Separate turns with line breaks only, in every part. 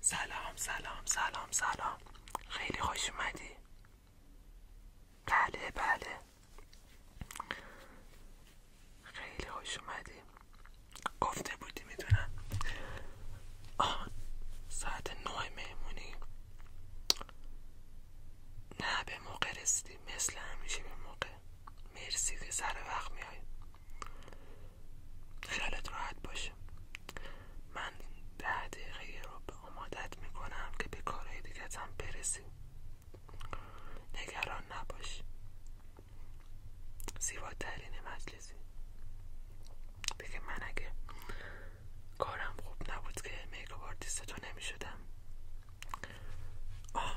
سلام سلام سلام سلام خیلی خوش اومدی بله بله خیلی خوش اومدی گفته بودی میدونم آه ساعت نه مهمونی نه به موقع رسیدی مثل همیشه به موقع مرسی که سر وقت میای خیالت راحت باشه من ده دقیقه رو به آمادت میکنم که به کارهای دیگت هم برسی نگران نباش ترین مجلسی بگه من اگه کارم خوب نبود که میکاپ آرتیست تو نمیشدم آه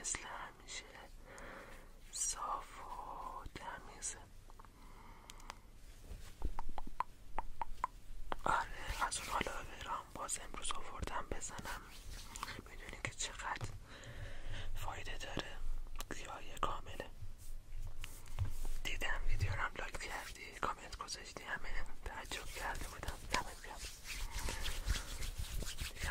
مثل همیشه صاف و تمیزه آره از اون حالا برام باز امروز آوردم بزنم میدونی که چقدر فایده داره زیادی کامله دیدم ویدیو رو هم لایک کردی کامنت گذاشتی همه تعجب کرده بودم دمت یه دیگه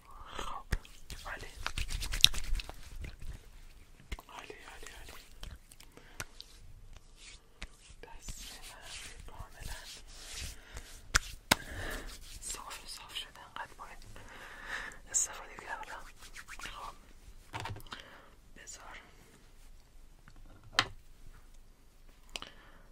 Allez. علی، allez, allez. دست کاملا صاف صاف شده انقدر باید استفاده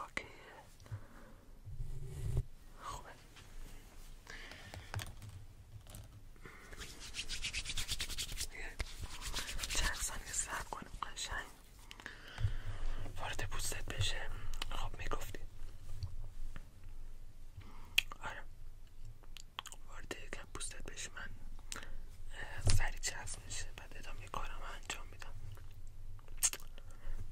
اوکی خوبه چند ثانیه کنیم قشنگ وارد پوستت بشه خب میگفتی آره وارد یکم پوستت بشه من سری چسب میشه بعد ادامه کارم انجام میدم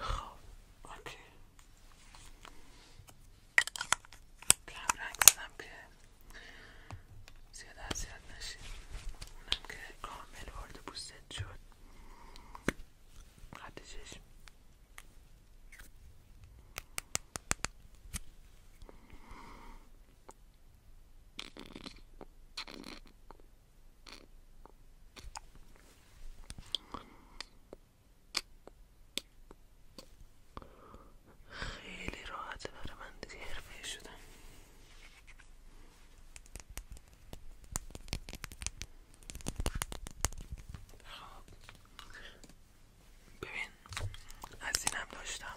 خب اوکی رنگ زدم که زیاد اذیت نشید اونم که کامل وارد پوستت شد خیلی راحت برای من دیگه حرفه شدم خب. ببین از اینم داشتم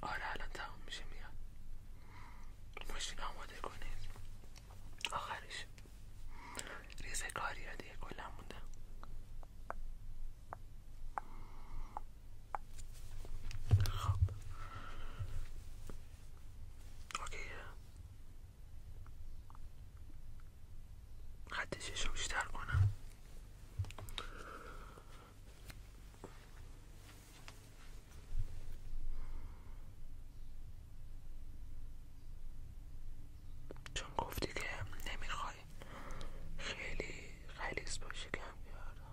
آره الان تمام میشه میاد ماشین آماده کنید آخرش ریزه کاری ها دیگه کلا مونده خب اوکی خط شیشه کنم چون گفتی که نمیخوای خیلی غلیظ باشی کم کردم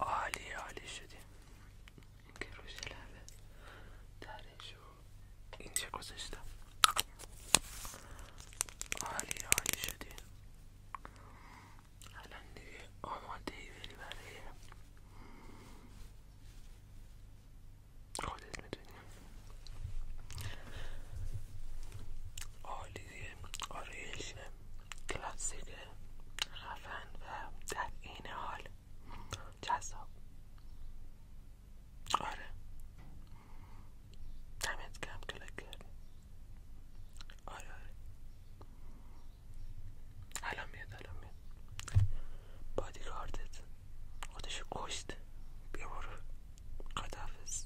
عالی عالی شدی اینکه روش لبه درش رو اینجا گذاشتم عالی عالی شدی الان دیگه آماده ای بری برای خودت میدونی عالی دیگه آرایش کلاسیک خفن و در این حال جذاب آره دمت کم کلک کردی آره آره الان میاد الان میاد بادیگاردت خودشو کشت بیا برو خداحافظ